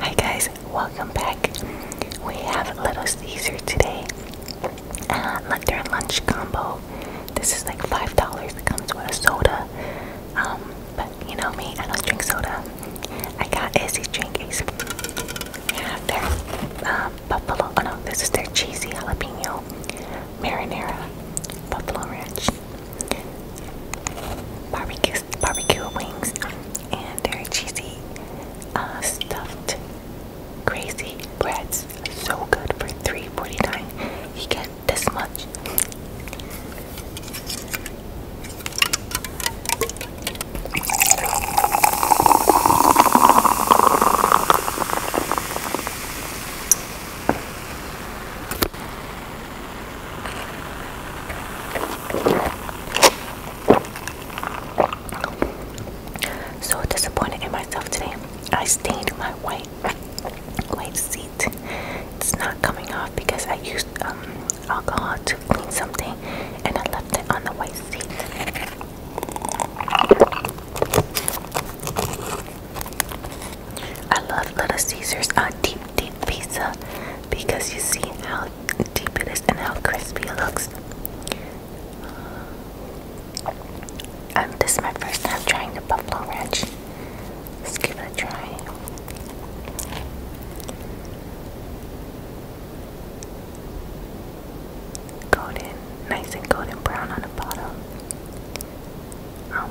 Hi guys, welcome back. We have a Little Caesar today. Uh, like their lunch combo. This is like five dollars. It comes with a soda. Um, but you know me, I don't drink soda. I got easy drink Yeah, their uh, buffalo. Oh no, this is their cheesy jalapeno marinara, buffalo ranch, barbecue barbecue wings, and they cheesy, uh, stuffed, crazy breads. So good for 3 dollars get this much. So disappointed in myself today. I stained my white white seat. It's not coming off because I used um, alcohol to clean something and I left it on the white seat. I love Little Caesars on uh, deep, deep pizza because you see how deep it is and how crispy it looks. Um, this is my first time trying the buffalo ranch. Let's give it a try. Golden, nice and golden brown on the bottom. Um,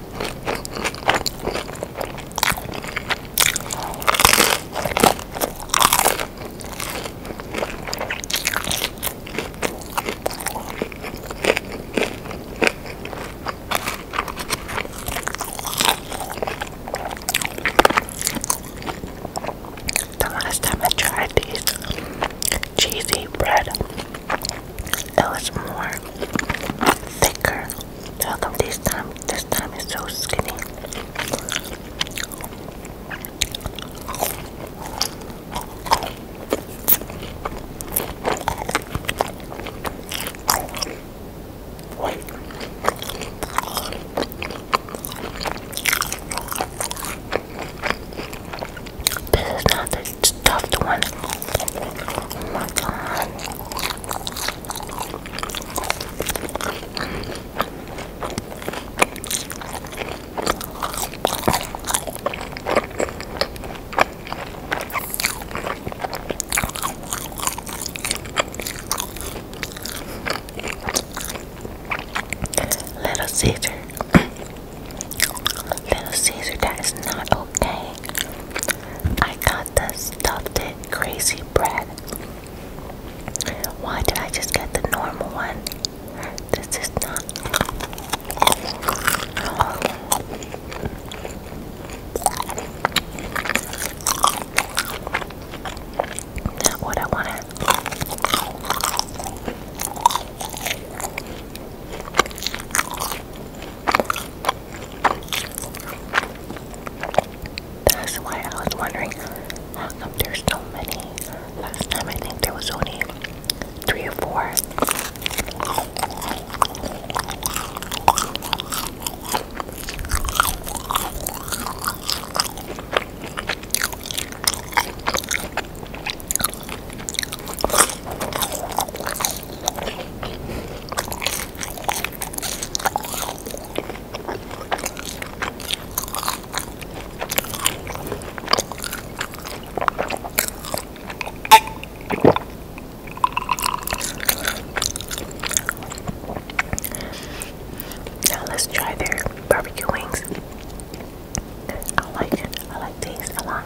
The last time I tried these cheesy bread, it was more thicker how come this time this time is so skinny? This is not the stuffed one. Oh my god. Little Caesar, Little Caesar, that is not okay. I got the stuffed it crazy bread. Why did I just get the normal one? This is not. Not what I wanted. That's why I was wondering how come there's so many. Last time I think there was only three or four. Now let's try their barbecue wings. I like I like these a lot.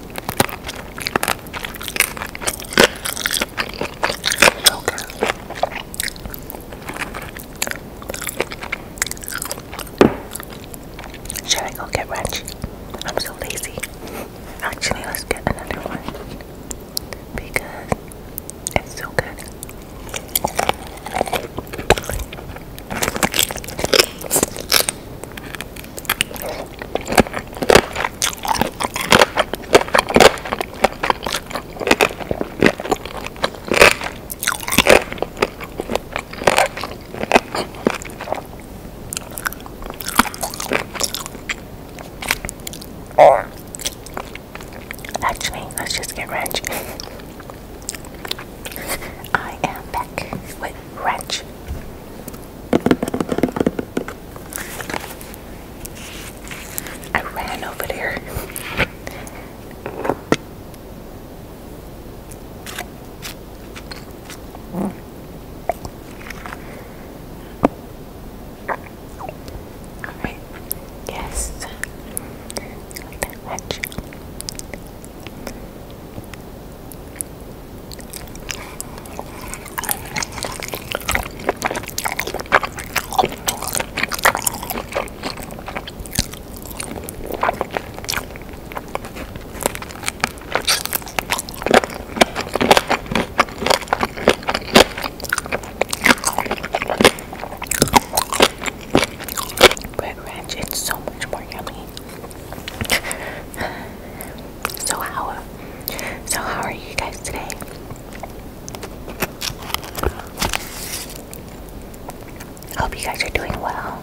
Okay. Should I go get Reggie? I'm so lazy. Actually, let's get another one because it's so good. Or, actually, let's just get ranch. I am back with wrench. I ran over there. Alright, yes, the wrench. Bread ranch, it's so much more yummy. So how so how are you guys today? Hope you guys are doing well.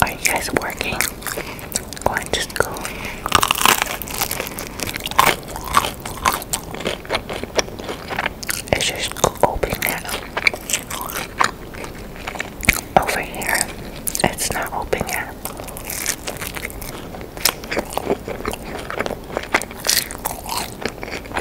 Are you guys working? Going to school? Is your school open now? Over here, it's not open yet.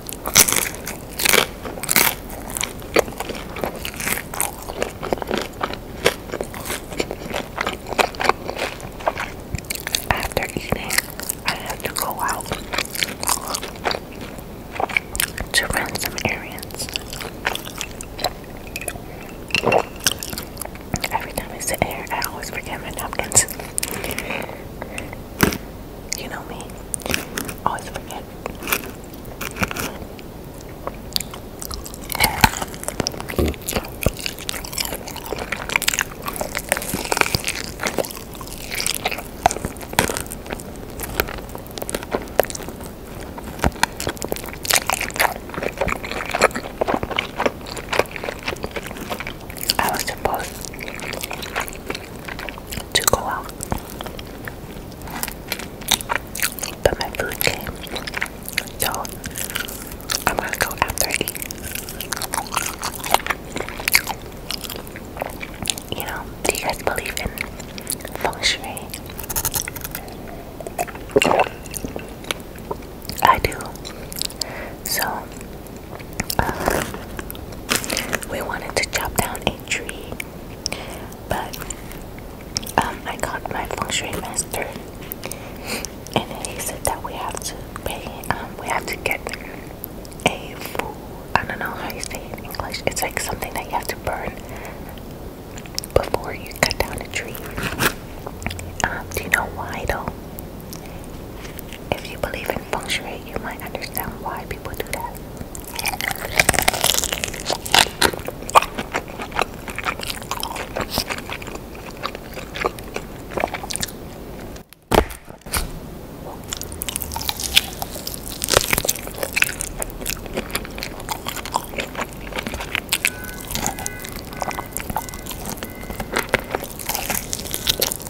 After eating, I have to go out to run some errands. Every time I sit here, I always forget my napkins. You know me. Always forget. I was supposed to go out. But my food came. So I'm gonna go after I You know, do you guys believe in feng shui? I do. So we wanted to chop down a tree, but um, I got my feng shui master, and he said that we have to pay. Um, we have to get a full I don't know how you say it in English. It's like something that you have to burn before you cut down a tree. Um, do you know why though? If you believe in feng shui, you might understand why people do that.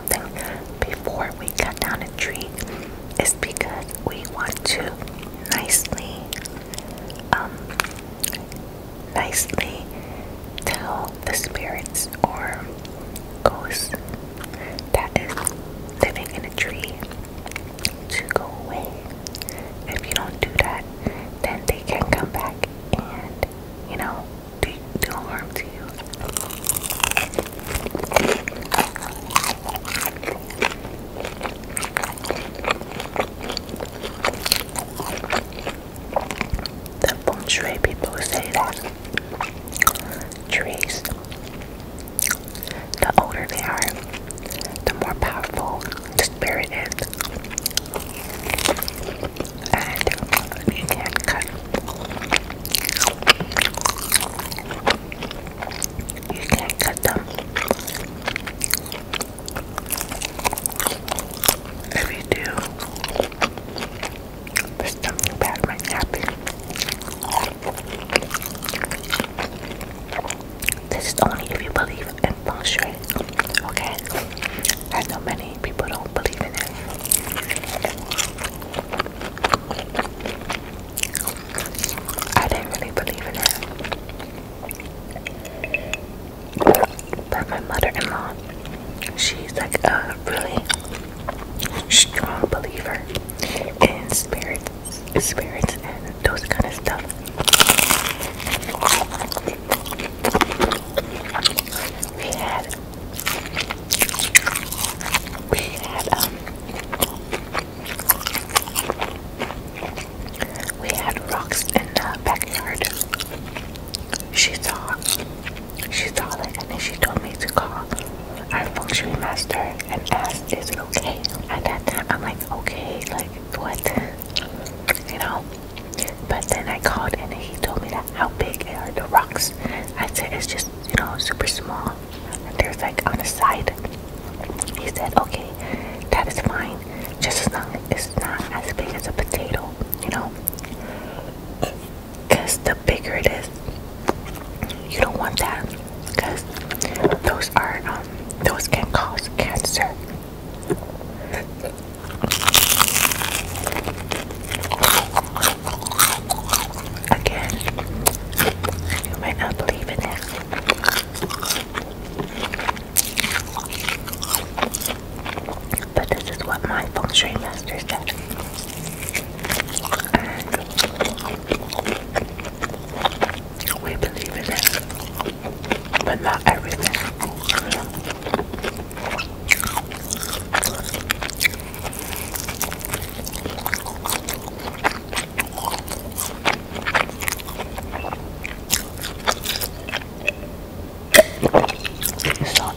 something before we cut down a tree is because we want to nicely um nicely tell the spirits or ghosts that is living in a tree to go away. If you don't do that, then they can come back and you know do, do harm The feng people say that trees, the older they are, the more powerful the spirit is. And you can cut you can't cut them. If you do, something bad might happen. This is only if you believe in feng okay? I know many people don't believe in it. I didn't really believe in it. But my mother-in-law, she's like a really strong believer in spirits, spirits and those kind of stuff. We had we had um we had rocks in the backyard. She saw she saw it and then she told me to call our functioning master and ask is it okay? At I'm like okay like what you know but then I called and he told me that how big are the rocks? I said, it's just, you know, super small. And there's like on the side. He said, okay, that is fine. Just as long as it's not as big as a potato, you know? Because the bigger it is, you don't want that. Because those are, um, those can cause cancer. Again, you might not believe in it. But this is what my feng shui master said. we believe in it, but not everything. So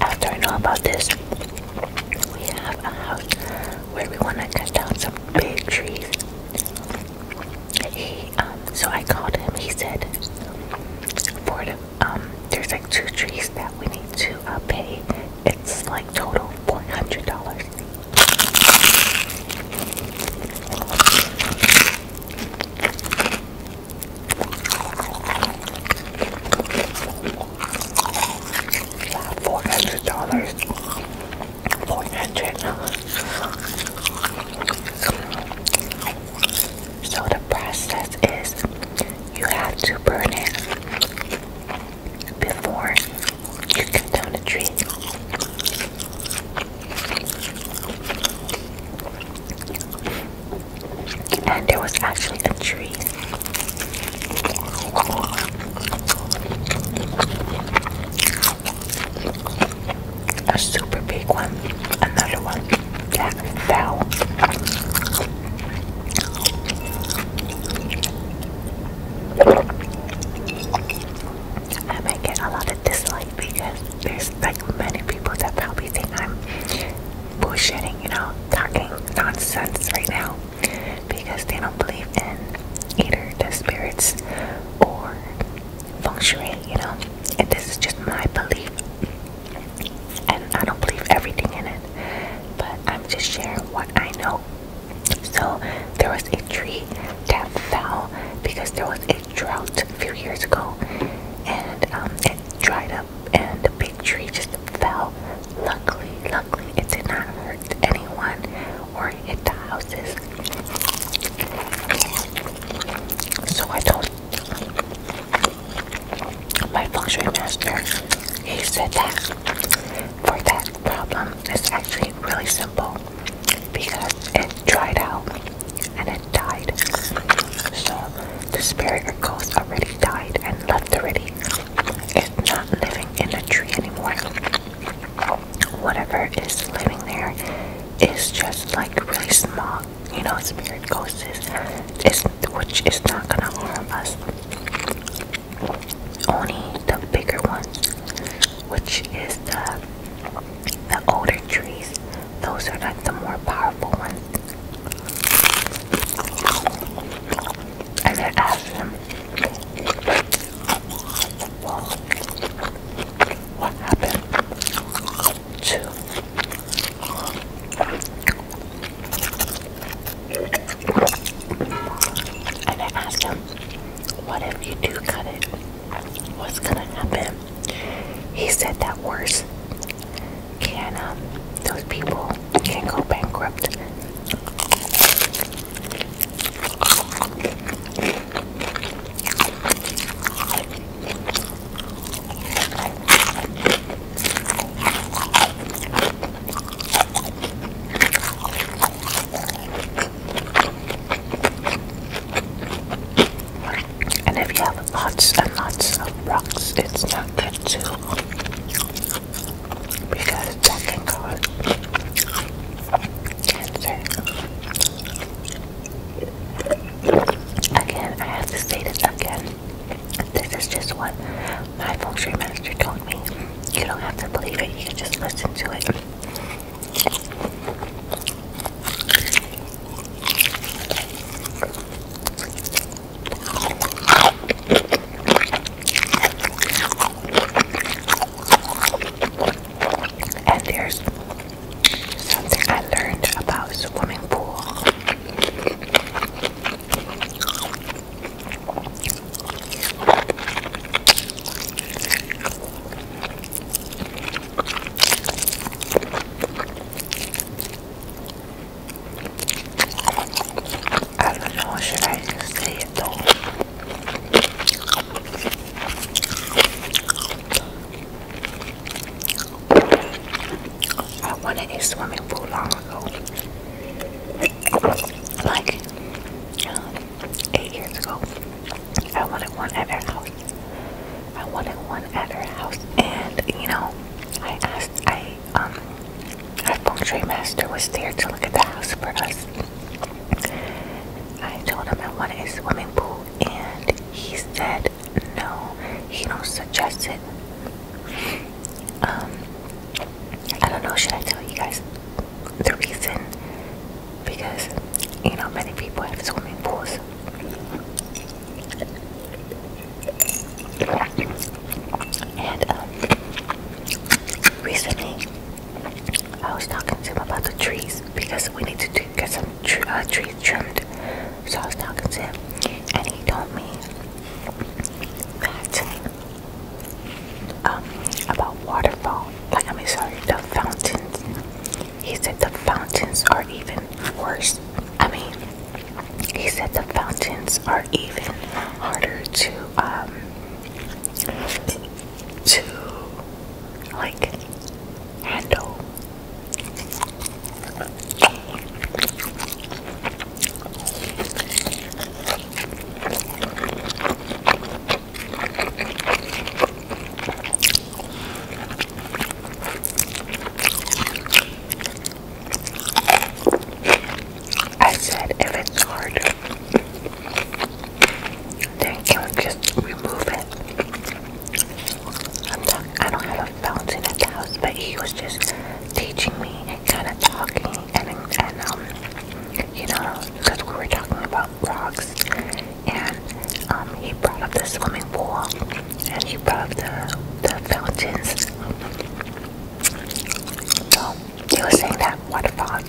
after I know about this, we have a house where we want to cut down some big trees. Um, so I called him. He said, for um, there's like two trees that we need to uh, pay it's like total four hundred dollars. Four hundred dollars. Four hundred. So the process is you have to burn it before you cut down a tree. And there was actually a tree. A super big one. Another one that fell. I might get a lot of dislike because there's like many people that probably think I'm bullshitting, you know, talking nonsense right now because they don't believe in either the spirits or feng shui, you know. And this is just my belief, and I don't believe everything in it, but I'm just sharing what I know so there was a tree that fell because there was a drought a few years ago, and um, it dried up, and the big tree just fell. Luckily, luckily, it did not hurt anyone or hit the houses. So I told my feng master, he said that for that problem it's actually really simple because it dried out and it died. So the spirit ghost already died and left already. It's not living in the tree anymore. Whatever is living there is just like really small, you know, spirit ghosts, is, which is not gonna harm us only the bigger ones, which is the the older trees. Those are like the more powerful ones. And they're asking well, what happened to and I asked him, What if you do cut it? What's gonna happen? He said that worse can um, those people can go bankrupt. And if you have lots and lots of rocks, it's not good too. Because that can cause cancer. Again, I have to state it again. This is just what my feng shui master told me you don't have to believe it, you can just listen to it. And there's something I learned about swimming pool. I don't know, should I just say it though? I wanted to swim a swimming pool long ago. Like uh, eight years ago, I wanted one at her house. I wanted one at her house, and you know, I asked. I um, our feng shui master was there to look at the house for us. I told him I wanted a swimming pool, and he said no. He don't suggest it. Um, I don't know. Should I tell you guys? the reason because you know many people have swimming pools. And um, recently, I was talking to him about the trees because we need to get some uh, trees trimmed. So I was talking to him, and he told me that um, about waterfall. Like I mean, sorry, the fountains. He said the fountains are even worse. I mean, he said the fountains are even harder to um to like handle. I said if it's hard, then can we just remove it? I'm talk I don't have a fountain at house, but he was just teaching me and kind of talking and, and um, you know, because we were talking about rocks, and um, he brought up the swimming pool, and he brought up the, the fountains. So he was saying that waterfall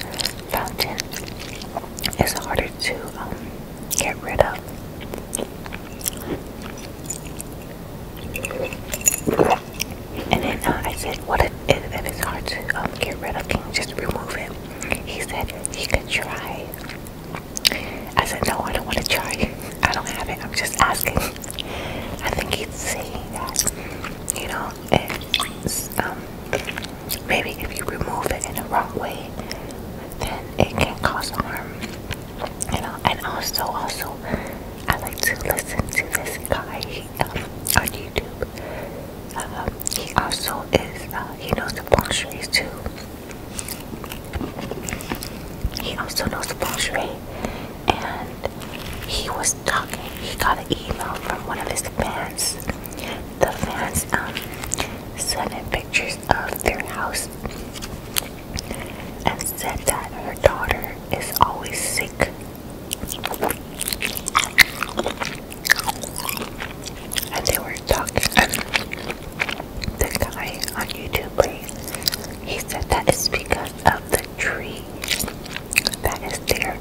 fountain is harder to um, get rid of. And then uh, I said, what if, it's hard to um, get rid of, can you just remove it? He said, he could try. I said, no, I don't want to try. I don't have it. I'm just asking. I think he saying that, you know, it's, um, maybe if you remove it in the wrong way, then it can cause harm. You know, and also, also, I like to listen to this guy. Um, on YouTube. Um, he also is, uh, he knows the too. He also knows the and he was talking. He got an email from one of his fans. The fans um, sent in pictures of their house and said that her daughter is always sick and they were talking, the guy on YouTube, he said that it's because of the tree that is there,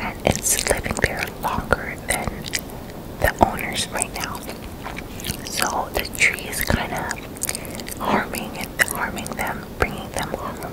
and it's living there longer than the owners right now. So the tree is kind of harming and harming them, bringing them harm.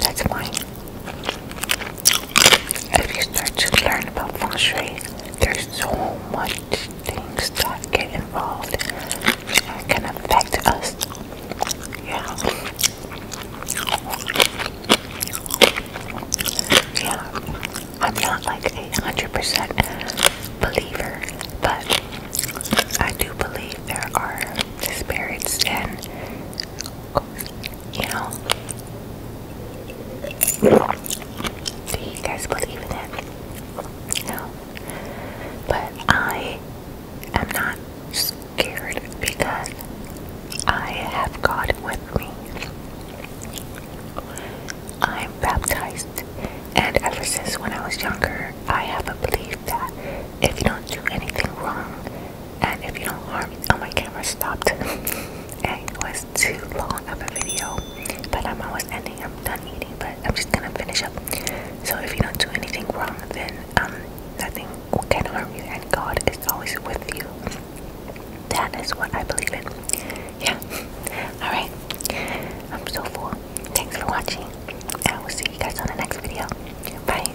That's fine. If you start to learn about feng shui, there's so much things that get involved and can affect us. Yeah. Yeah. I'm not like a hundred percent believer, but I do believe there are spirits and you know. Do you guys believe in it? No. But I am not scared because I have God with me. I'm baptized, and ever since when I was younger, I have a belief that if you don't do anything wrong, and if you don't harm, me, oh my camera stopped. and it was too long of a video, but I'm almost ending. I'm done eating, but I'm just gonna finish up. So if you don't do anything wrong, then um nothing can harm you, and God is always with you. That is what I believe in. Yeah. All right. I'm so full. Thanks for watching. and we will see you guys on the next video. Bye.